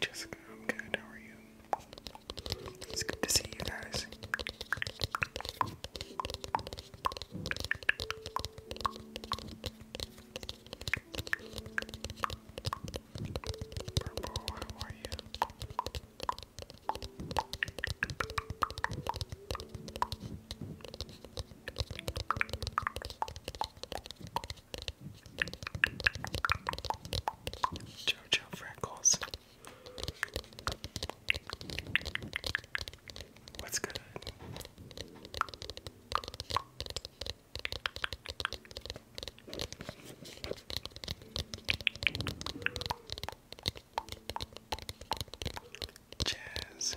Jessica, good. How are you? It's good to see you guys. Purple, how are you? Jojo Freckles. What's good? jazz. Jazz.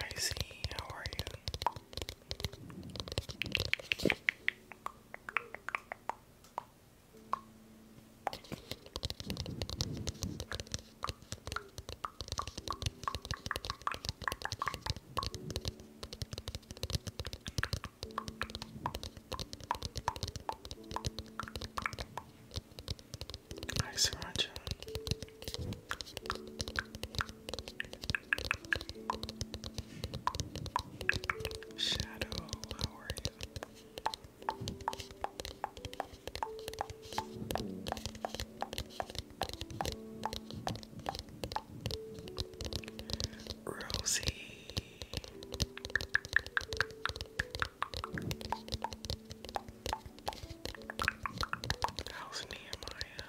I see. How are you? I sriracha. Shadow, how are you? Rosie How's Nehemiah?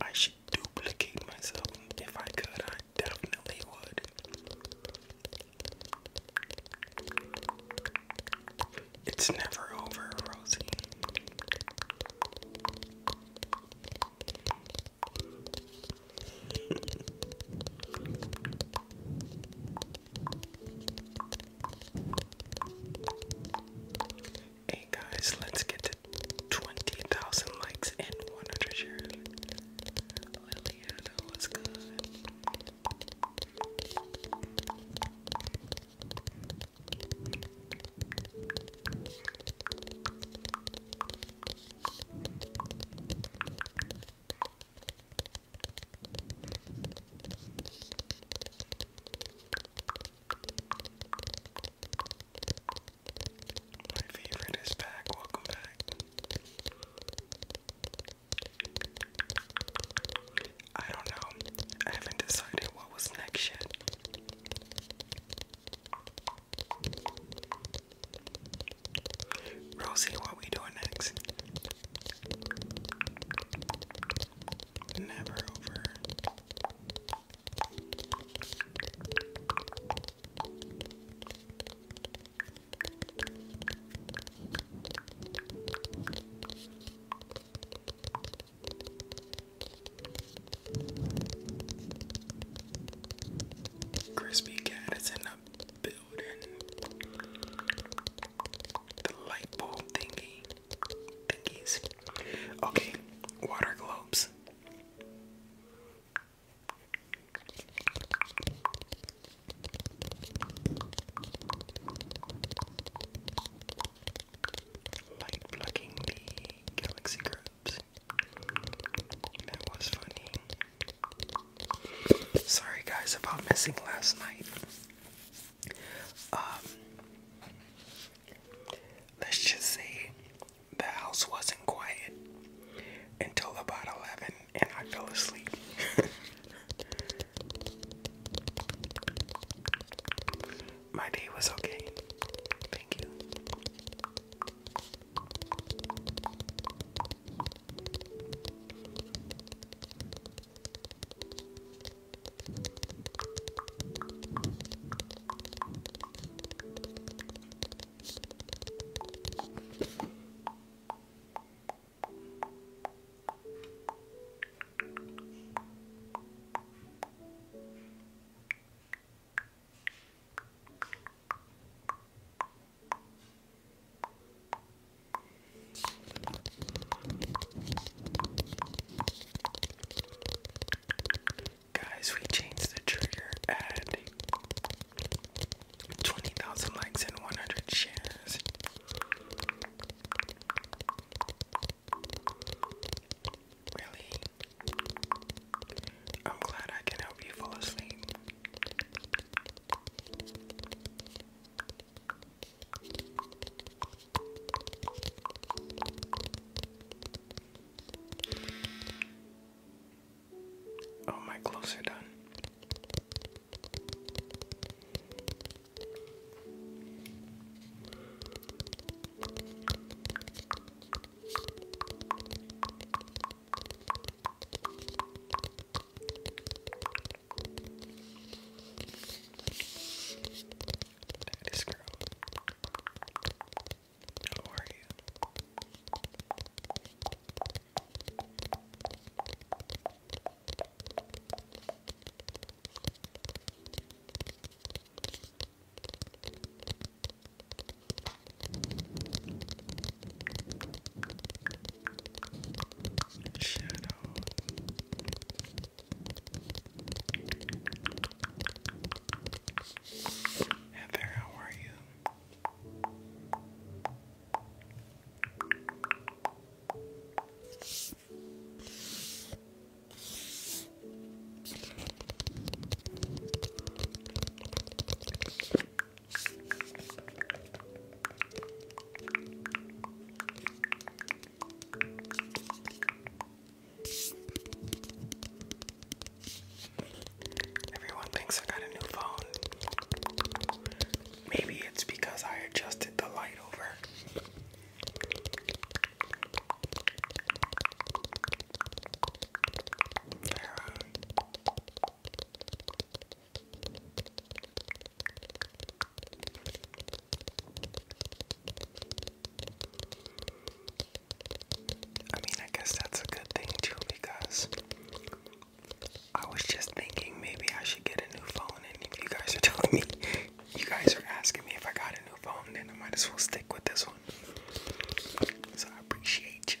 I should duplicate myself if I could. I definitely would. It's never over, Rosie. hey guys, let's get to 20,000 likes and 100 shares yeah, that was good. My favorite is back. Welcome back. I don't know. I haven't decided what was next yet. Rosie, what we doing next? Never over. Crispy Cat is in the building. The light bulb thingy. Thingies. Okay, water globes. Light plugging the galaxy grubs. That was funny. Sorry guys about missing last night. Um let's just say the house wasn't quiet until about eleven and I fell asleep. My day was okay. Thank you. Guys, we changed the trigger and 20,000 likes and 100 shares. Really? I'm glad I can help you fall asleep. Oh, my clothes are done. Daddy's girl. How are you? Shadow. Heather, how are you? Everyone thinks I got a new phone. Maybe it's because I adjusted the light over. I mean, I guess that's a good thing too because I was just thinking maybe I should get a new phone, and you guys are telling me, you guys are asking me if I got a new phone, then I might as well stick with this one. So I appreciate you.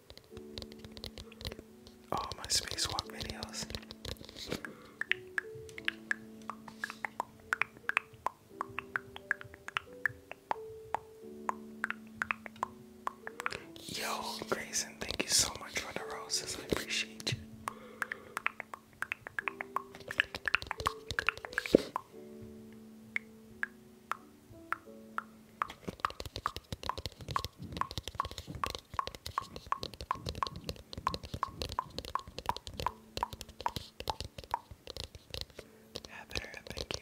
all my spacewalk videos. Yo, Grayson, thank you so much for the roses. I appreciate you. Yeah, better up, thank you.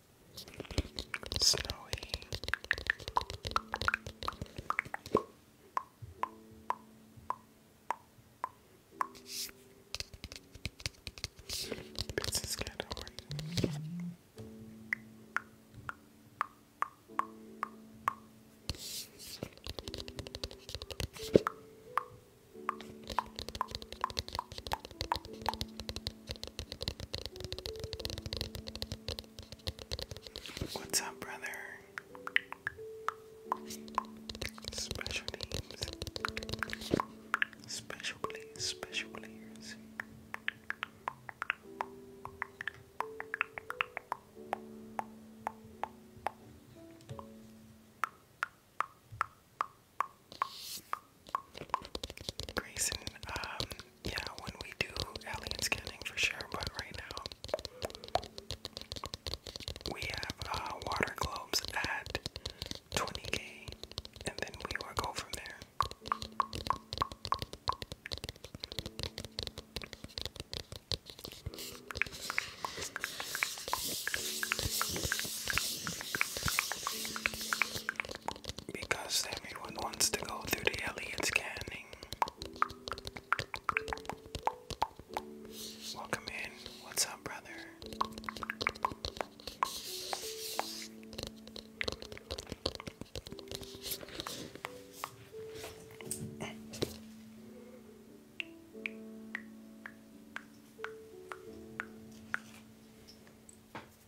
snowy. This is good. What's up, brother? Special names. Special players, special players. Grayson, um, yeah, when we do alien scanning for sure, but right now we have uh, water globes at 20k, and then we will go from there because everyone wants to go through the Elliot scanning. Welcome in. What's up, brother? How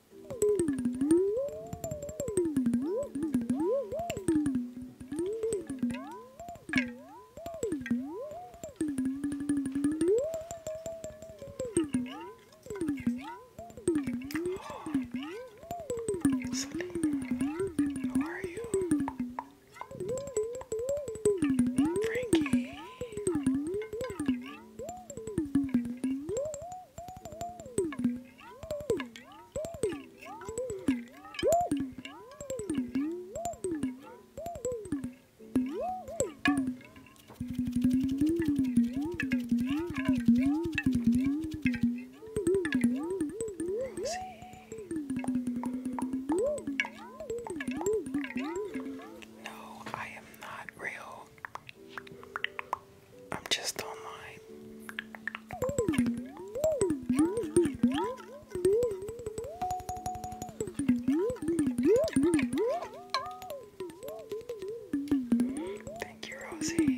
are you? Frankie. No, I am not real. I'm just online. Thank you, Rosie.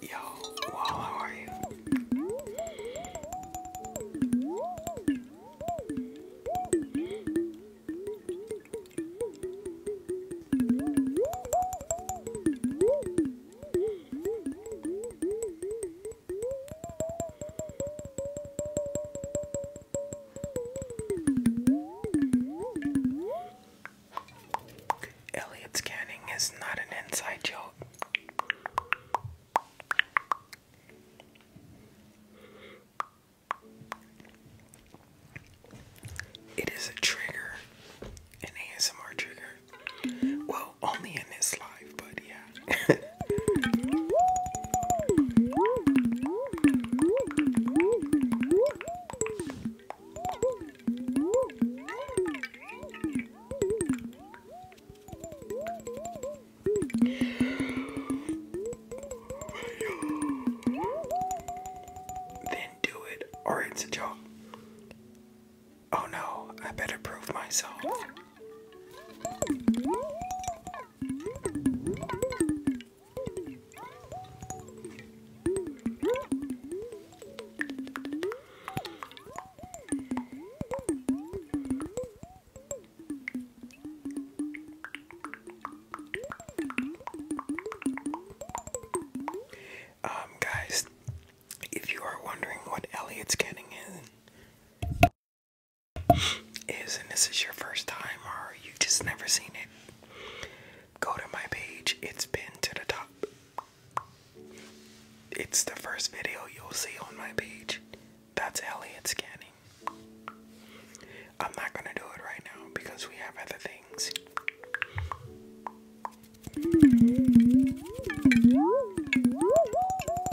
Yo, wow, how are you? Elliot's canning is not an inside joke. It is a trigger, an ASMR trigger. Well, only in this life, but yeah. then do it, or it's Oh no, I better prove myself. Um, guys, if you are wondering what Elliot's getting in is, and this is your first time or you've just never seen it, go to my page. It's pinned to the top. It's the first video you'll see on my page. That's Elliot scanning. I'm not going to do it right now because we have other things.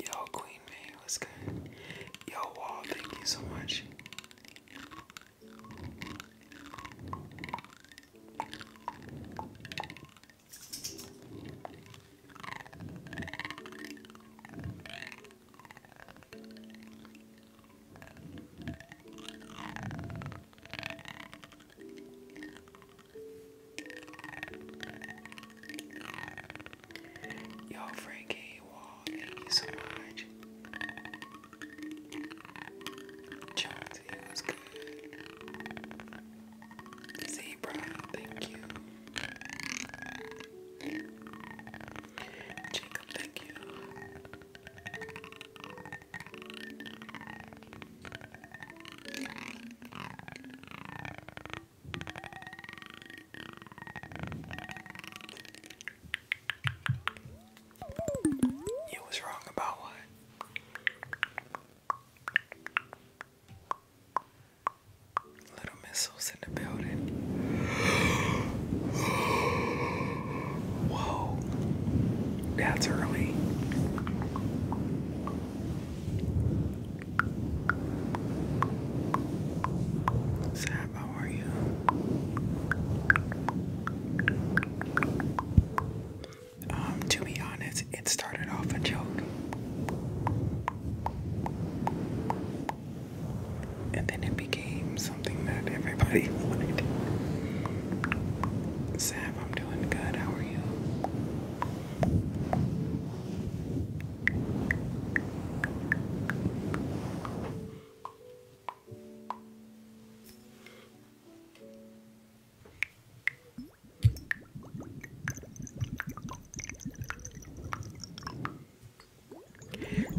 Yo, Queen May, what's good? Yo, Wall, thank you so much. Yo, Frankie Wall, thank you so much. John Z was good. Zebra, thank you. Jacob, thank you. You was wrong about what? Little missiles in the building. Whoa. That's early. Sam, how are you? Um, to be honest, it started off a joke and then it became something that everybody wanted. Sav, I'm doing good. How are you?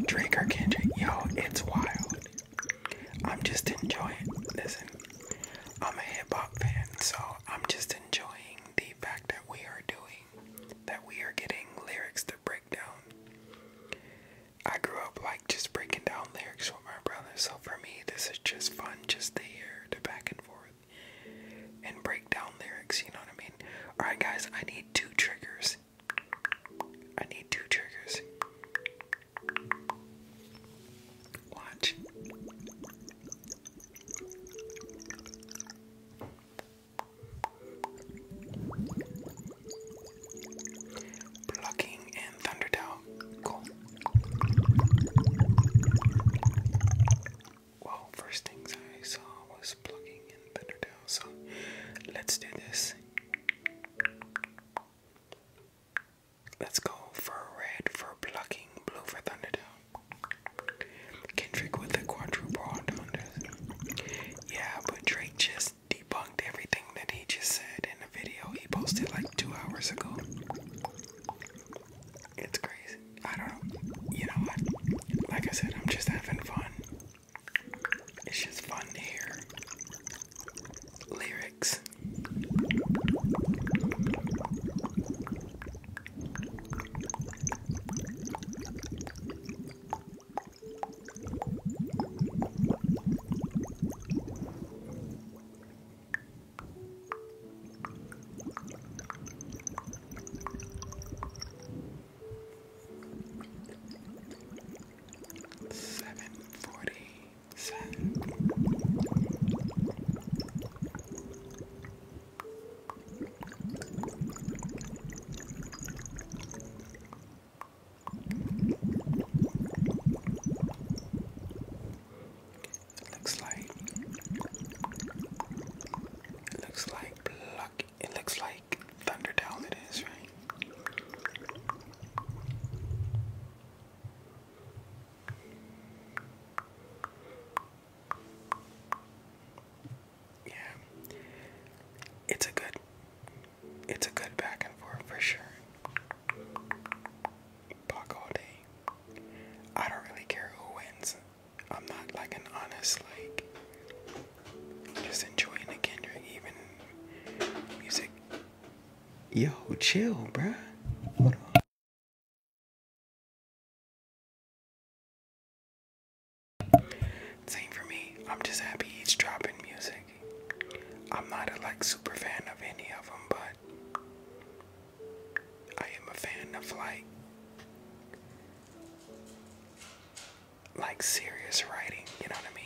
Drake or Kendrick, yo, it's wild. I'm just enjoying. Listen, I'm a hip hop fan, so I'm just enjoying the fact that we are doing, that we are getting lyrics to break down. I grew up like just breaking down lyrics with my brother, so for me, this is just fun just to hear the back and forth and break down lyrics, you know what I mean? Alright, guys, I need two triggers I need two triggers. Watch. Plucking and Thunderdell. Cool. Well, first things I saw was plugging in Thunderdale, so let's do this. Let's go for red for blocking, blue for Thunderdome. Kendrick with the quadruple all Yeah, but Drake just debunked everything that he just said in the video he posted like two hours ago. It's crazy. I don't know. You know what? Like I said, I'm just having fun. It's just fun to hear lyrics seven forty seven. It looks like looks like pluck it looks like Thunderdome it is, right? Yeah. It's a good it's a good back and forth for sure. Puck all day. I don't really care who wins. I'm not like an honest like just enjoying the Kendrick even music Yo, chill, bruh. Same for me. I'm just happy he's dropping music. I'm not a like super fan of any of them, but I am a fan of like like serious writing. You know what I mean?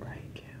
Right, Kim.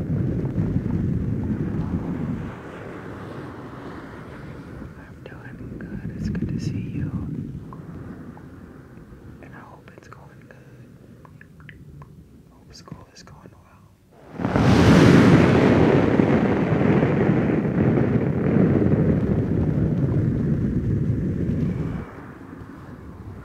I'm doing good. It's good to see you. And I hope it's going good. Hope school is going well.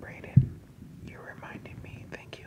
Brayden, you reminded me. Thank you.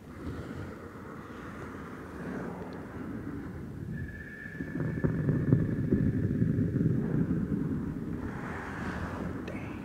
Dang.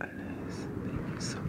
Alice, thank you so much.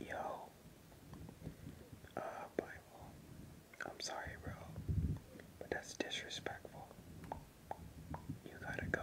Yo. Uh, I'm sorry, bro. But that's disrespectful. You gotta go.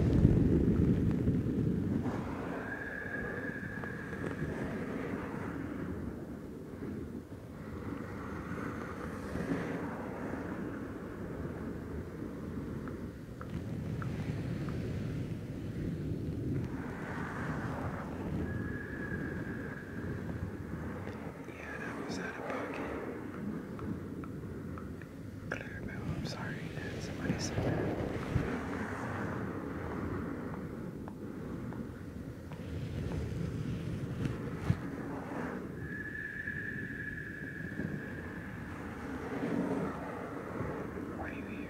Yeah, that was out of pocket. Clarabelle, I'm sorry that somebody said that. Why are you here?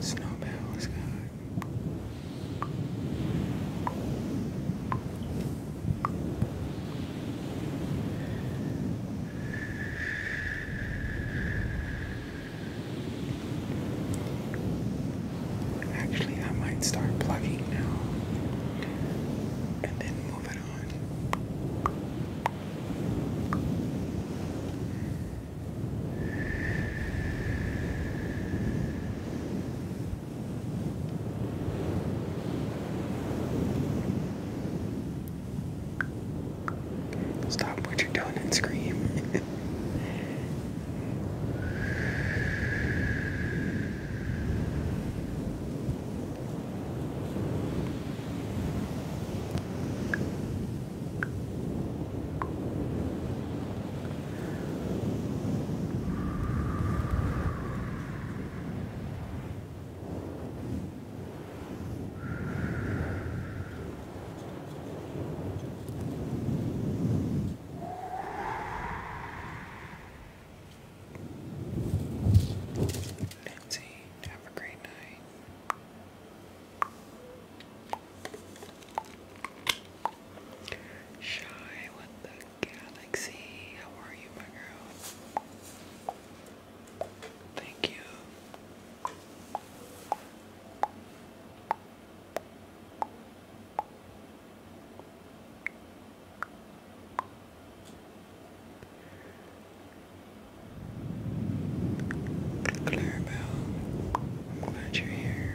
Snowball is good. Actually, I might start plugging now and then move it on. Stop what you're doing and scream. Nancy, have a great night. Shy with the galaxy. How are you, my girl? Thank you. Clarabelle, I'm glad you're here.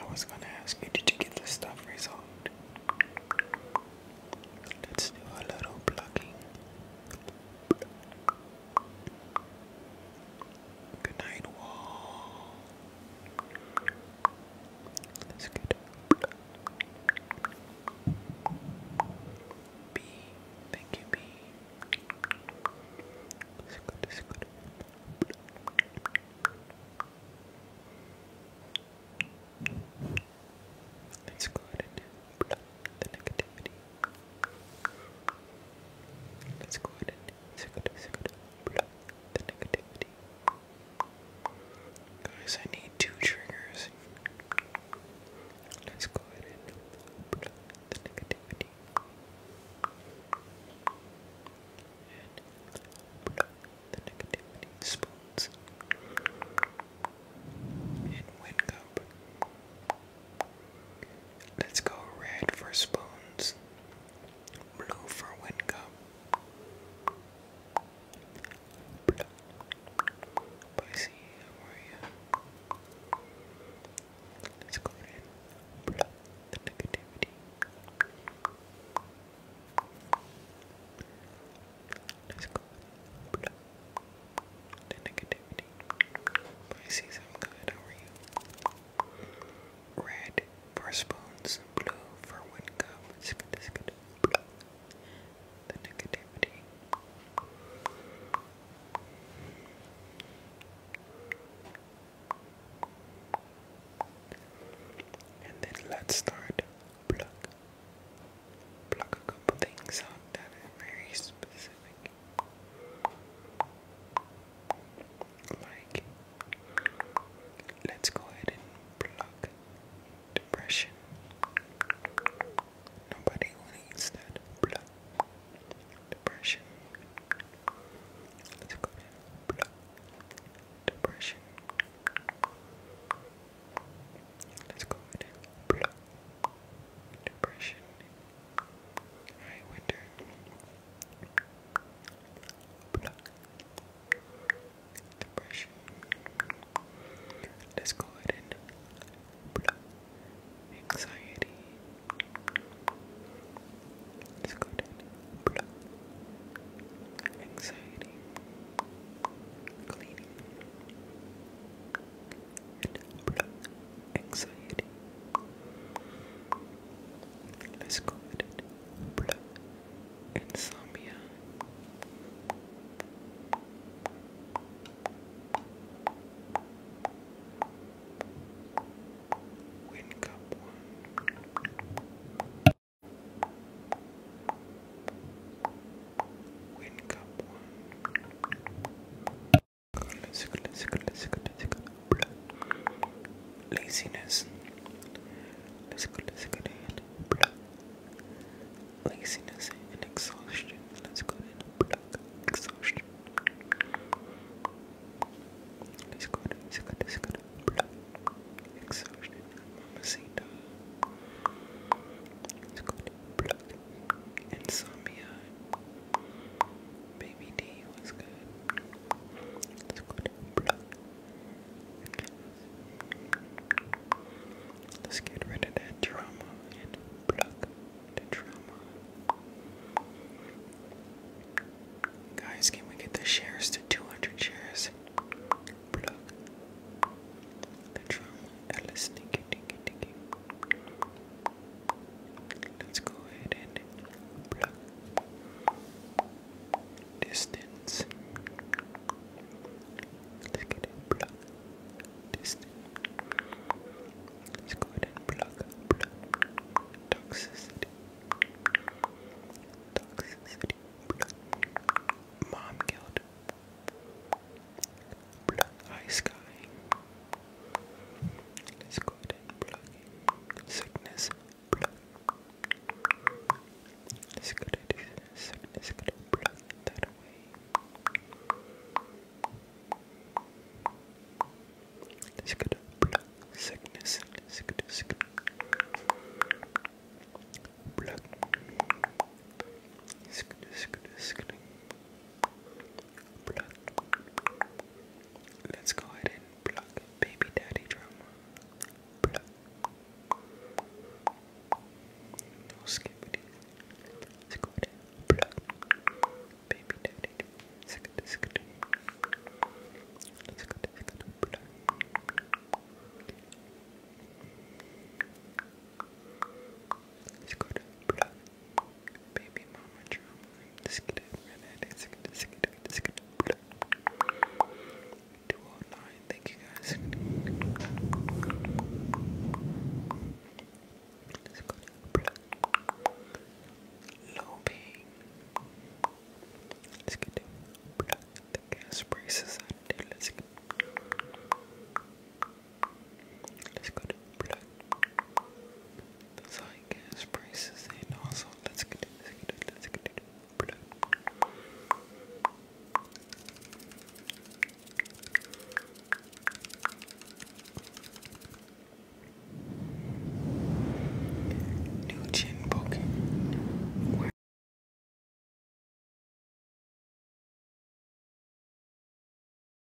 I was gonna ask you, did you get the stuff resolved? Let's do a little plucking. Good night, That's good. Thank you, That's good, Let's go ahead and do the negativity. Let's go ahead and block the negativity. Guys, I need two triggers. Let's go ahead and the negativity. And the negativity spoons. And wind cup. Let's go red for spoons, blue for wind Let's go in. The negativity. Let's go. Blue. The negativity. Pisces, I'm good. How are you? Red for spoons, blue for one cup. It's good, it's good. The negativity. And then let's start pluck. Pluck a couple things out that are very specific. Like, let's go ahead and plug depression. Nobody needs that. Plug depression. Let's go ahead and plug depression. Let's go ahead and plug depression I wonder. Pluck. Let's go ahead and pluck. Anxiety. Let's go ahead and pluck. Anxiety. Cleaning anxiety. Let's go Blood. Insomnia. Wake one. Wake one. Laziness. Laziness and exhaustion. Let's go ahead and exhaustion. Let's go ahead and exhaustion. Mamacita. Let's go ahead and pluck. Insomnia. Baby D was good. Let's Let's get rid of that drama and the drama. Guys, can we get the shares to 200 shares? Pluck the drama. Alice, dinky, dinky, Let's go ahead and pluck distance. Let's get it pluck distance. Let's go ahead and pluck pluck toxicity. Toxicity pluck mom guild. Blood High Sky. Let's go ahead and plug sickness, blood. Let's sickness, going that away. let blood sickness. let sickness. Blood. Let's sickness, blood. Let's go ahead and pluck baby daddy drum. skip it. Let's go ahead and pluck baby daddy drum. Let's Let's go ahead and pluck baby mama drum. Just get it, right Just get it, just get it, just get it. 209, thank you guys. Let's go Low Let's get it. The gas braces on Let's get Let's go to the side gas prices and also let's continue, let's continue, let's continue. New chin poking.